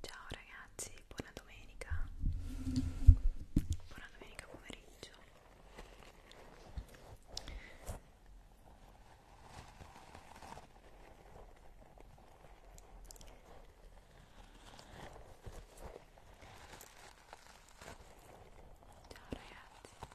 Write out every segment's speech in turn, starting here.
Ciao ragazzi, buona domenica. Buona domenica pomeriggio. Ciao ragazzi.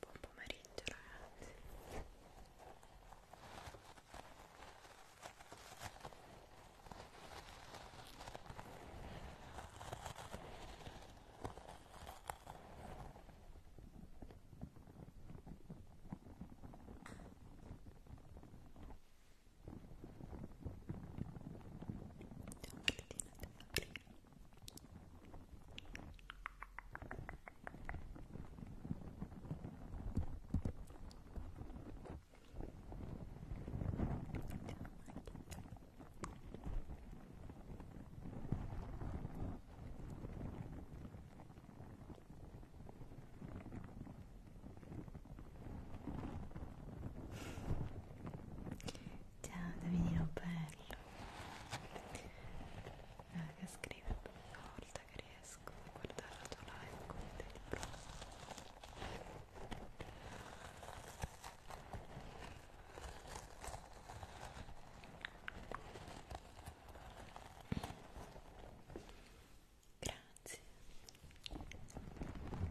Buon pomeriggio ragazzi Ciao, Ciao Davidino bello. Ah, che scrive una volta che riesco a guardare la tua live con te di Grazie. Ciao Mario. Ciao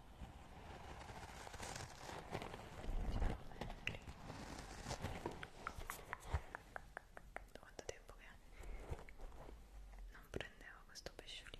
Da quanto tempo che non prendevo questo pesciolino?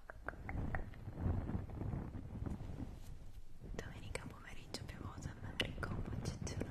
Domenica pomeriggio piovoso a Merico, un po' eccezionale.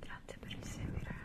Grazie per il seguito ragazzi.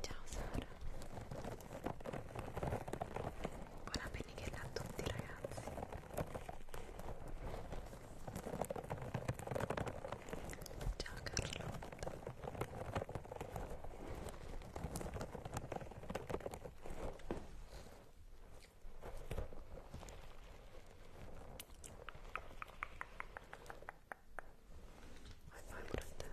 Ciao Sara Buona pennichella a tutti ragazzi Ciao Carlotta Vai fai pure te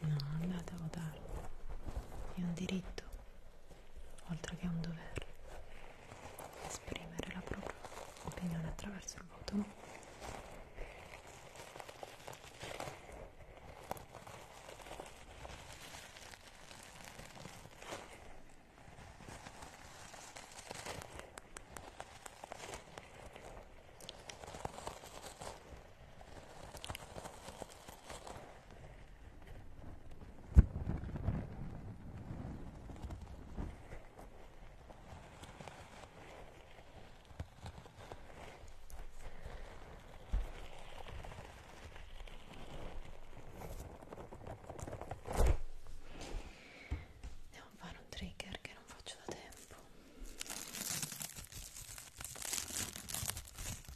No, andate a votare, è un diritto oltre che un dovere, esprimere la propria opinione attraverso il voto. No? Devo fare un trigger che non faccio da tempo.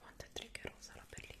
quanto è triggerosa la pellicola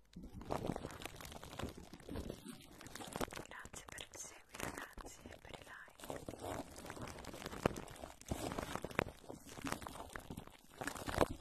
Grazie per il seguito ragazzi e per i like. Ciao Diego. Ciao ragazzi.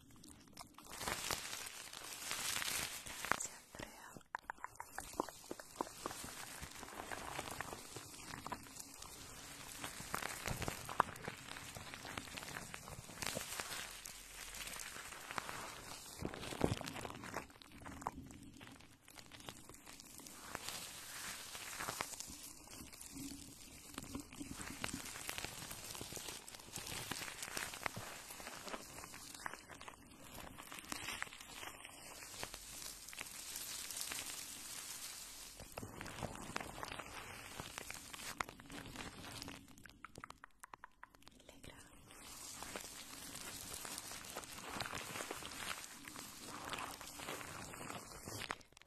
Grazie Andrea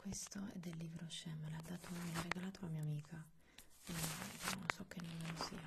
questo è del libro Shem, l'ha dato, me l'ha regalato la mia amica eh, non so che non sia grazie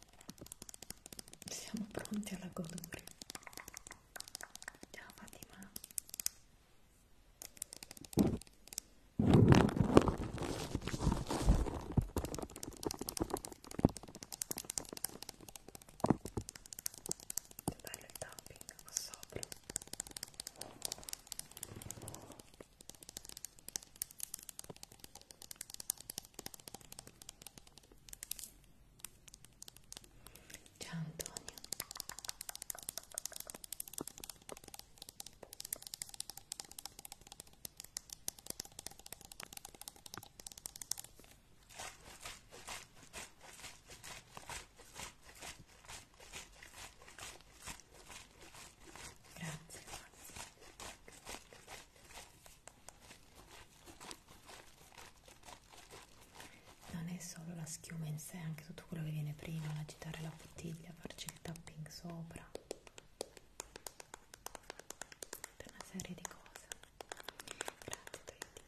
Siamo pronti alla godura. Ciao Fatima. Che bello il tapping qua sopra. Ciao Antonio Grazie non è solo la schiuma in sé, anche tutto quello che viene prima, agitare la bottiglia, farci il tapping sopra, tutta una serie di cose. Grazie Toyotic.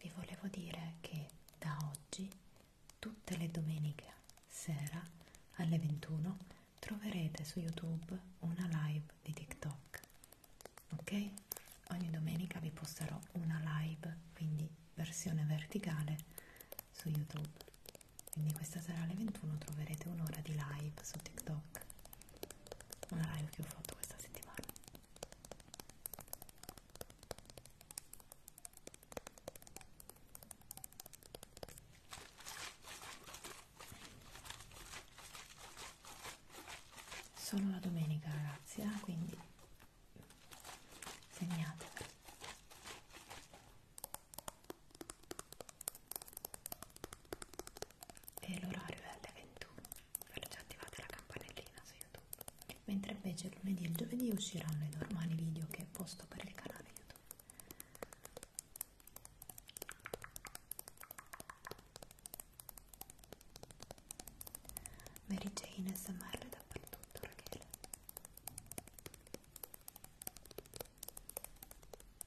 vi volevo dire che da oggi tutte le domeniche sera alle 21 troverete su youtube una live di tiktok ok ogni domenica vi posterò una live quindi versione verticale su youtube quindi questa sera alle 21 troverete un'ora di live su tiktok una live che ho fatto questa settimana solo la domenica ragazzi eh? quindi segnatevi e l'orario è alle 21 perciò attivate la campanellina su YouTube mentre invece lunedì e giovedì usciranno i normali video che posto per il canale YouTube Mary Jane SMR dappertutto Rachele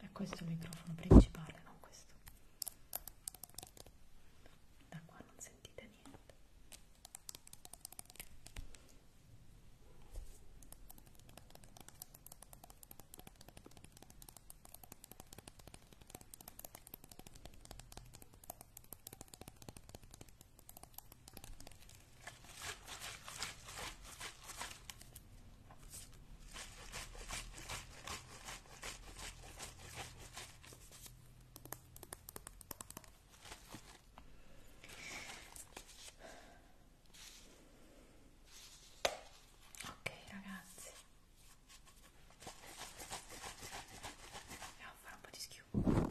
è questo il microfono principale non questo da qua non sentite niente Ok ragazzi, andiamo a fare un po' di schiuma.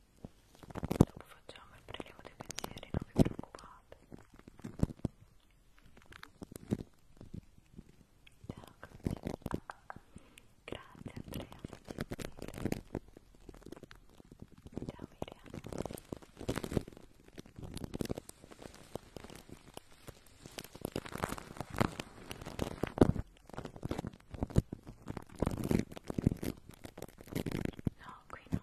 dopo facciamo il prelievo dei pensieri non vi preoccupate grazie Andrea ciao Miriam No, qui non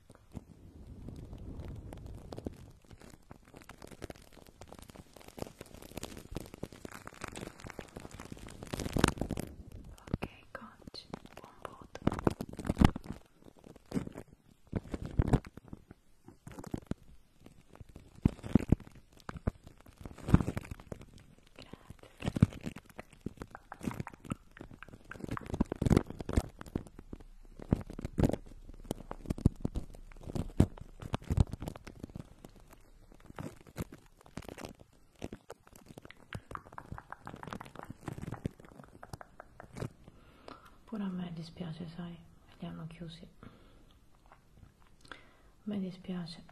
Okay, got one board. Good. Pure a me dispiace, sai, li hanno chiusi. Mi dispiace.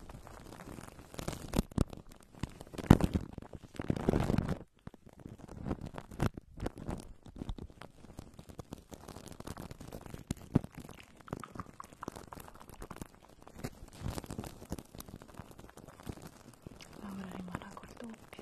Ora rimarrà col doppio.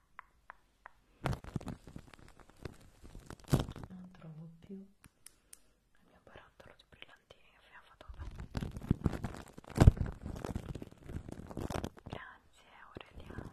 non trovo più il mio barattolo di brillantini che abbiamo fatto grazie Aureliano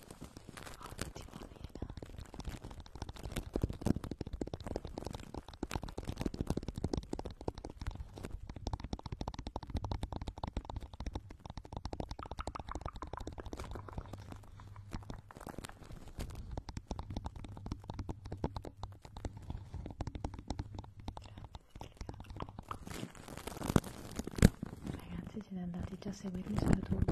Ottimo, Lena. Ragazzi siete andati già a seguirmi su YouTube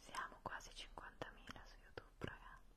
Siamo quasi 50.000 su YouTube, ragazzi.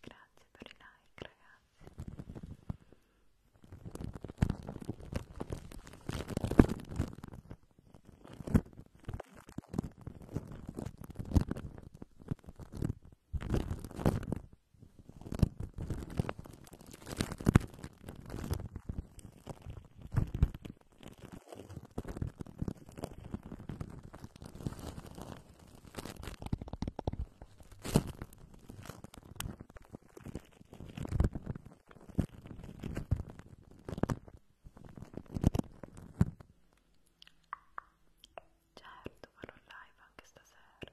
Grazie per il like, ragazzi. Certo, farò live anche stasera.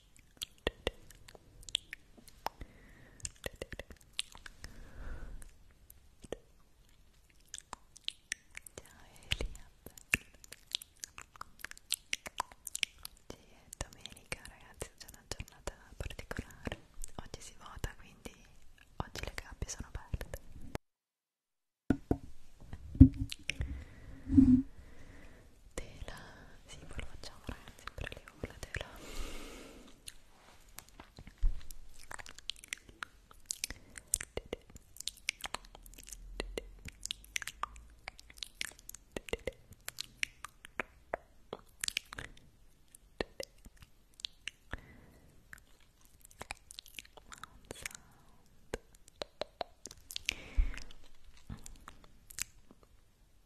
Oggi è domenica ragazzi, c'è una giornata particolare. Oggi si vota, quindi oggi le gabbie sono aperte tela sì poi lo facciamo ragazzi per le urla tela Sound.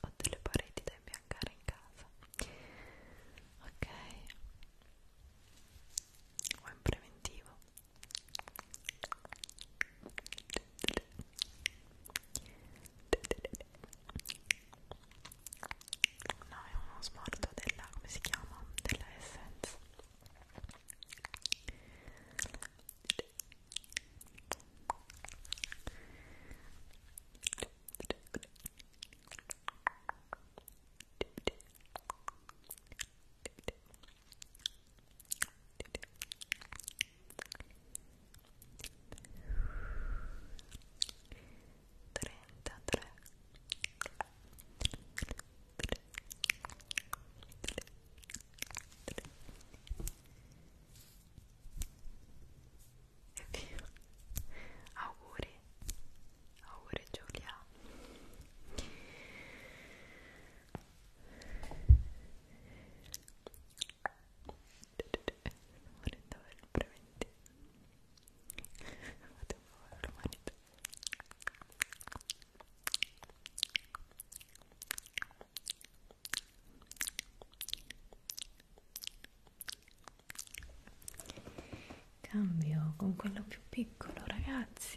Ho delle pareti da imbiancare in casa. Ok. O in preventivo. No, è uno smalto della, come si chiama? Della Essence 33 e via auguri auguri Giulia morendo per il preventivo fate un po' per l'umanità cambio con quello più piccolo ragazzi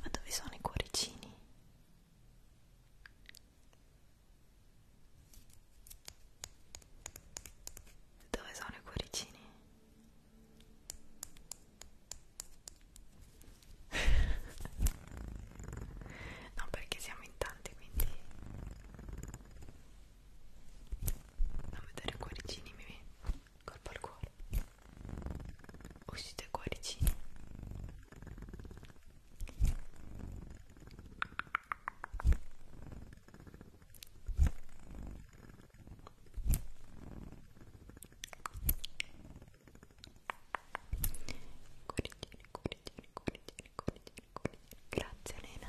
Ma dove sono i cuoricini? Dove sono i cuoricini? no, perché siamo in tanti, quindi a vedere i cuoricini mi colpo al cuore uscite cuoricini Cuoricini, cuoricini, cuoricini, cuoricini, cuoricini. Grazie Elena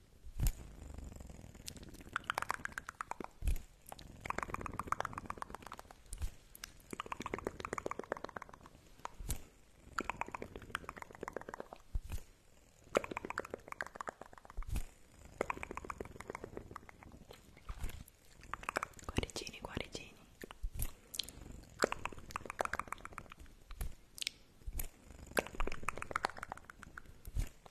Guaricini, guaricini. Ecco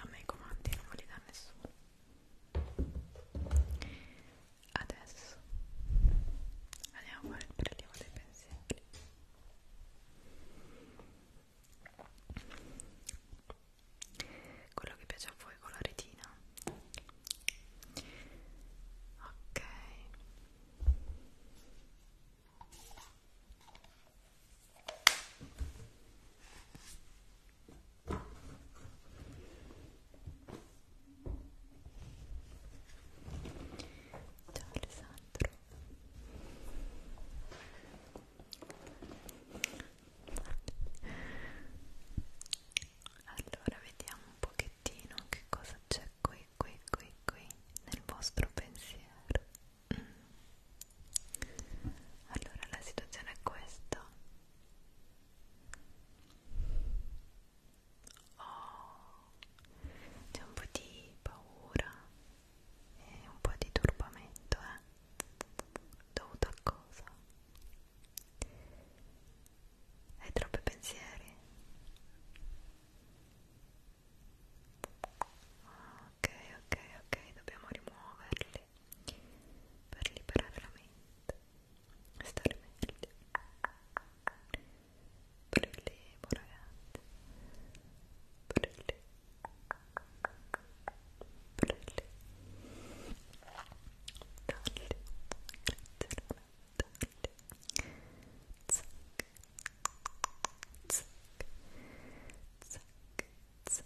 a me i comandi non me li dà nessuno adesso andiamo a fare il prelievo dei pensieri quello che piace a voi con la retina ok Ciao Alessandro Allora vediamo un pochettino che cosa c'è qui qui qui qui nel vostro pensiero allora la situazione è questa oh, c'è un po' di paura e un po' di turbamento eh? dovuto a cosa? hai troppi pensieri? ok ok ok dobbiamo rimuoverli fare per liberare la mente, stare meglio. Prelevo ragazzi, prelevo, prelevo, taglio, grazie, taglio, zac, zac, zac, zac,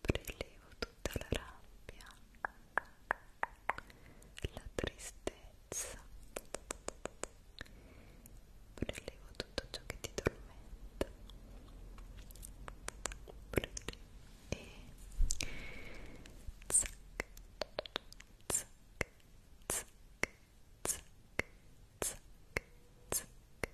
prelevo tutta la rabbia, la tristezza, prelevo tutto ciò che ti tormenta prelevo. e zac, zac, zac, zac, zac, zac,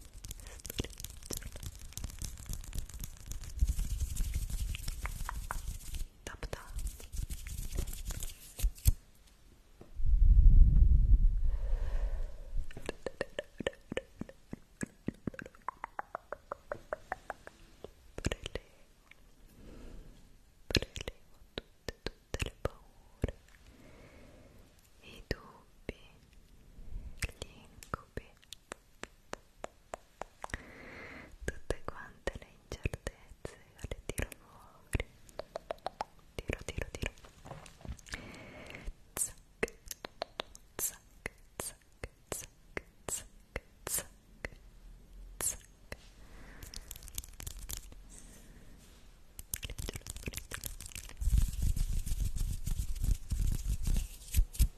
Tap tap Prelevo, prelevo tutte, tutte le paure, i dubbi, gli incubi tutte quante le incertezze le tiro fuori tiro tiro tiro zac zac zac zac zac zac zac Ritiro, ritiro.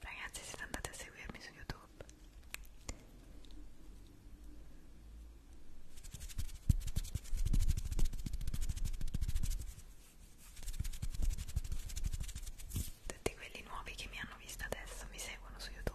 Ragazzi siete andati a seguirmi su YouTube tutti quelli nuovi che mi hanno visto adesso mi seguono su YouTube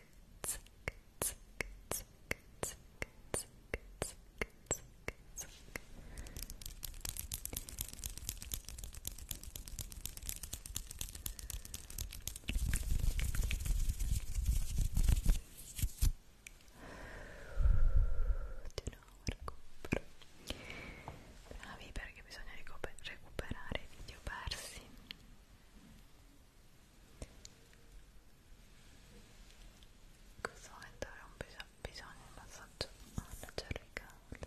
bravi perché bisogna recuperare i in questo momento avrò bisog bisogno di un massaggio alla ah, cervicale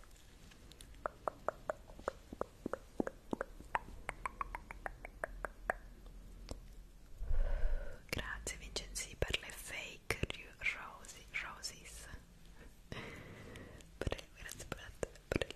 grazie Vincenzi per le fake rosy, roses per il, grazie per la, per il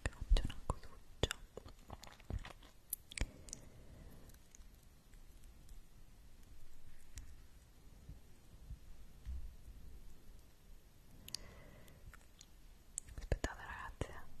faccio una cosuccia aspettate ragazzi Ecco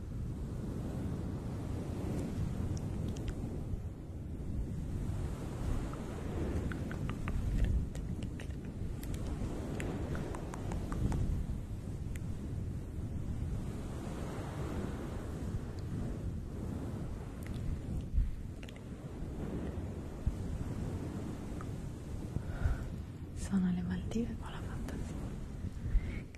Sono le Maldive con la fantasia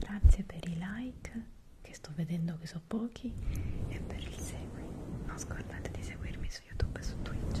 Grazie per i like che sto vedendo che sono pochi e per il segui. Non scordate di seguirmi su YouTube e su Twitch.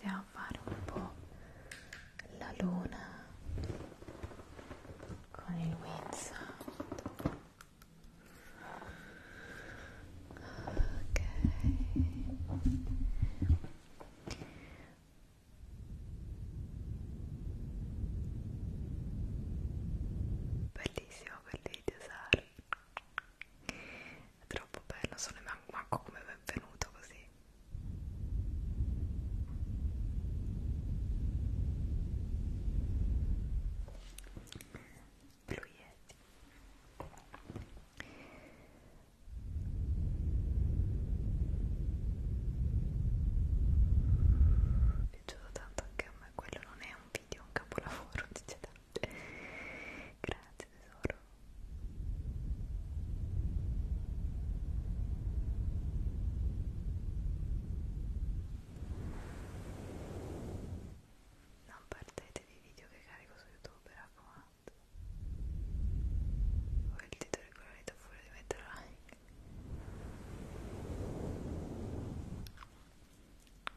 andiamo a fare un po' la luna con il wind sound ok bellissimo quel video Sara è troppo bello, sono manco come benvenuto così. Blu Yeti. Mi è piaciuto tanto anche a me, quello non è un video, è un capolavoro, dicete Grazie tesoro. Non perdetevi i video che carico su YouTube, raccomando. Voi il titolo è quello da fuori di mettere like.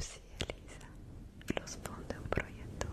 Sí, Elisa, los fondos un proyector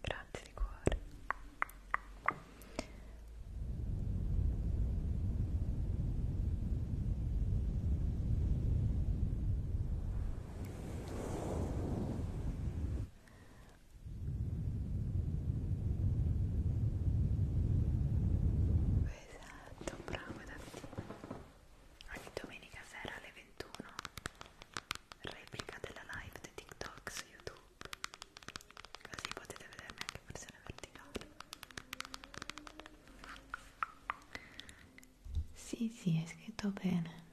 Grazie di cuore. Esatto, bravo Davide. Ogni domenica sera alle 21 replica della live di TikTok su YouTube così potete vedermi anche in versione verticale sì sì è scritto bene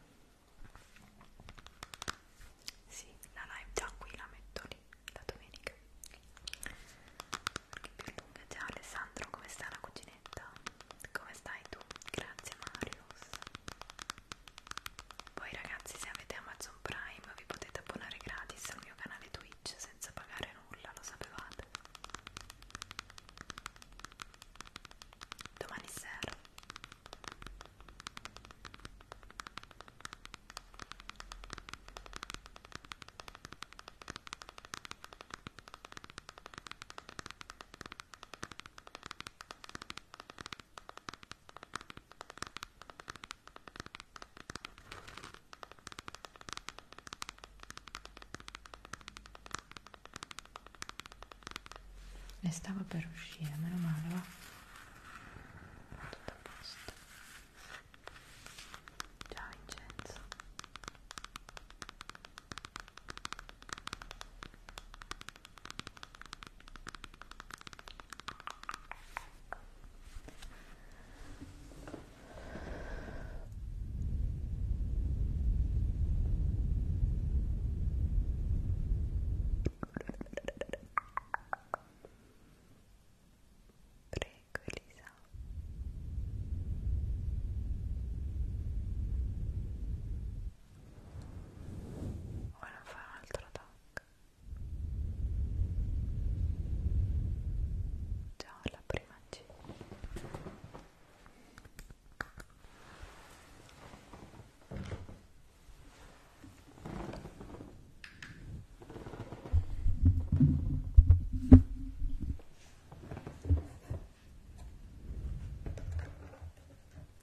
sì la live già qui la metto lì la domenica perché più lunga già Alessandro come sta la cuginetta come stai tu grazie Marius poi ragazzi se avete Amazon Prime vi potete abbonare gratis al mio canale Twitch senza pagare nulla, lo sapevate? Domani sera ne stava per uscire, meno male, va? Tutto a posto. Ciao Vincenzo. Prego Elisa. Ora fa un altro tocco. Già la prima C.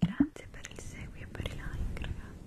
Grazie per il seguito e per i like, ragazzi.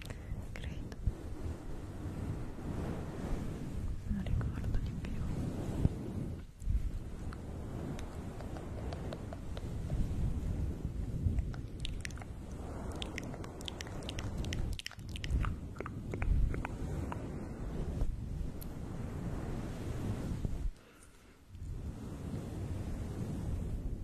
credo non ricordo di più Grazie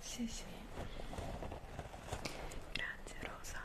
Sì, sì. Grazie Rosa.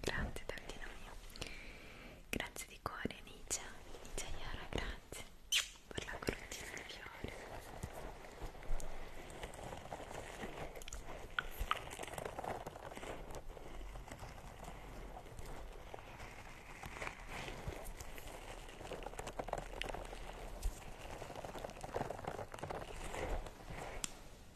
Grazie Davina mio. Grazie di cuore Nicia. Nicia Iara, grazie per la coroncina di fiore.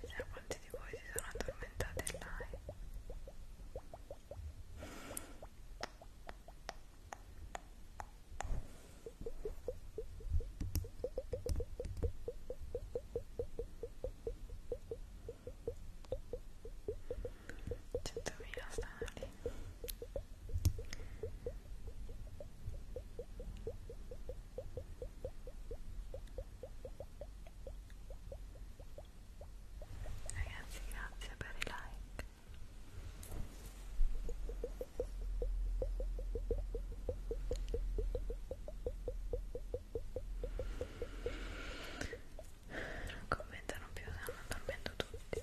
Chissà quanti di voi si sono addormentati in live centomila stanno lì Ragazzi, grazie per i like. Non commentano più, stanno dormendo tutti.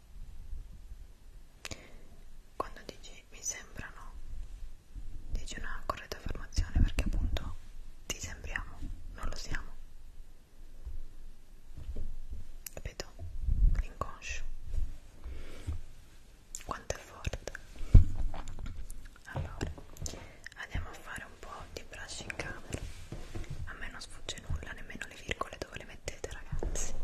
quando dici mi sembrano dici una corretta affermazione perché appunto ti sembriamo non lo siamo capito? l'inconscio quanto è forte allora andiamo a fare un po' di brushing camera a me non sfugge nulla nemmeno le virgole dove le mettete ragazzi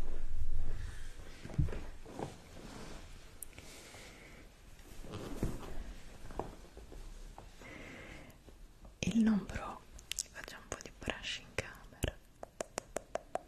il nombro facciamo un po' di brush in camera Prego.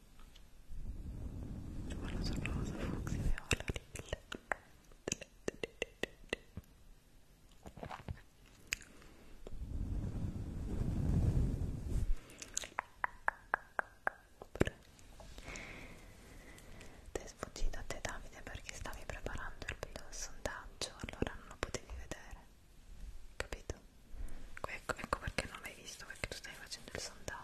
Guarda, sono rosa, fucsia, viola, lilla Ti è sfuggito a te Davide perché stavi preparando il sondaggio, allora non lo potevi vedere, capito? Ecco, ecco perché non l'hai visto, perché tu stai facendo il sondaggio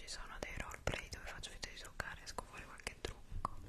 ci sono dei roleplay dove faccio finta di toccare e esco fuori qualche trucco Prego,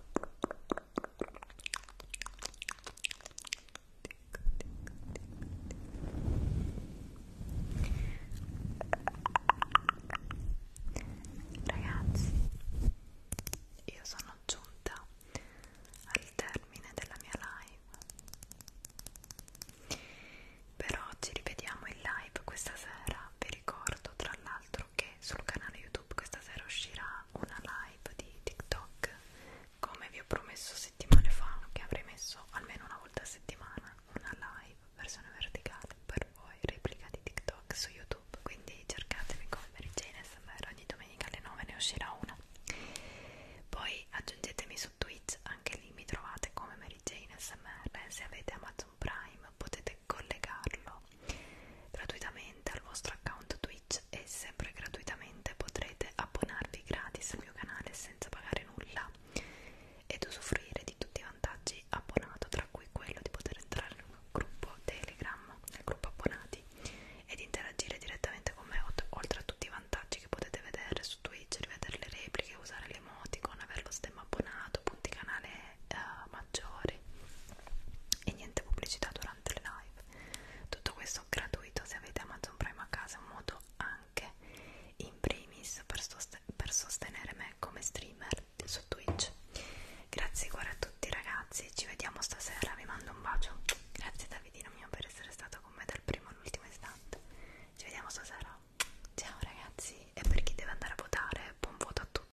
Ragazzi, io sono giunta al termine della mia live. Però ci rivediamo in live questa sera. Vi ricordo tra l'altro altro che sul canale YouTube questa sera uscirà una live di TikTok come vi ho promesso settimane fa che avrei messo almeno una volta a settimana una live versione verticale per voi replica di TikTok su YouTube quindi cercatemi come Mary Jane SMR ogni domenica alle 9 ne uscirà una poi aggiungetemi su Twitch anche lì mi trovate come Mary Jane SMR se avete Amazon Prime potete potete collegarlo gratuitamente al vostro account Twitch e sempre gratuitamente potrete abbonarvi gratis al mio canale senza pagare nulla ed usufruire di tutti i vantaggi abbonato tra cui quello di poter entrare in un gruppo Telegram, nel gruppo abbonati ed interagire direttamente con me oltre a tutti i vantaggi che potete vedere su Twitch, rivedere le repliche, usare le emoticon, avere lo stemma abbonato, punti canale, uh, maggiori e niente pubblicità durante le live tutto questo gratuito se avete Amazon Prime a casa è un modo anche in primis per, sost per sostenere me come streamer su Twitch grazie cuore a tutti ragazzi ci vediamo stasera vi mando un bacio grazie Davidino mio per essere stato con me dal primo all'ultimo istante ci vediamo stasera ciao ragazzi e per chi deve andare a votare buon voto a tutti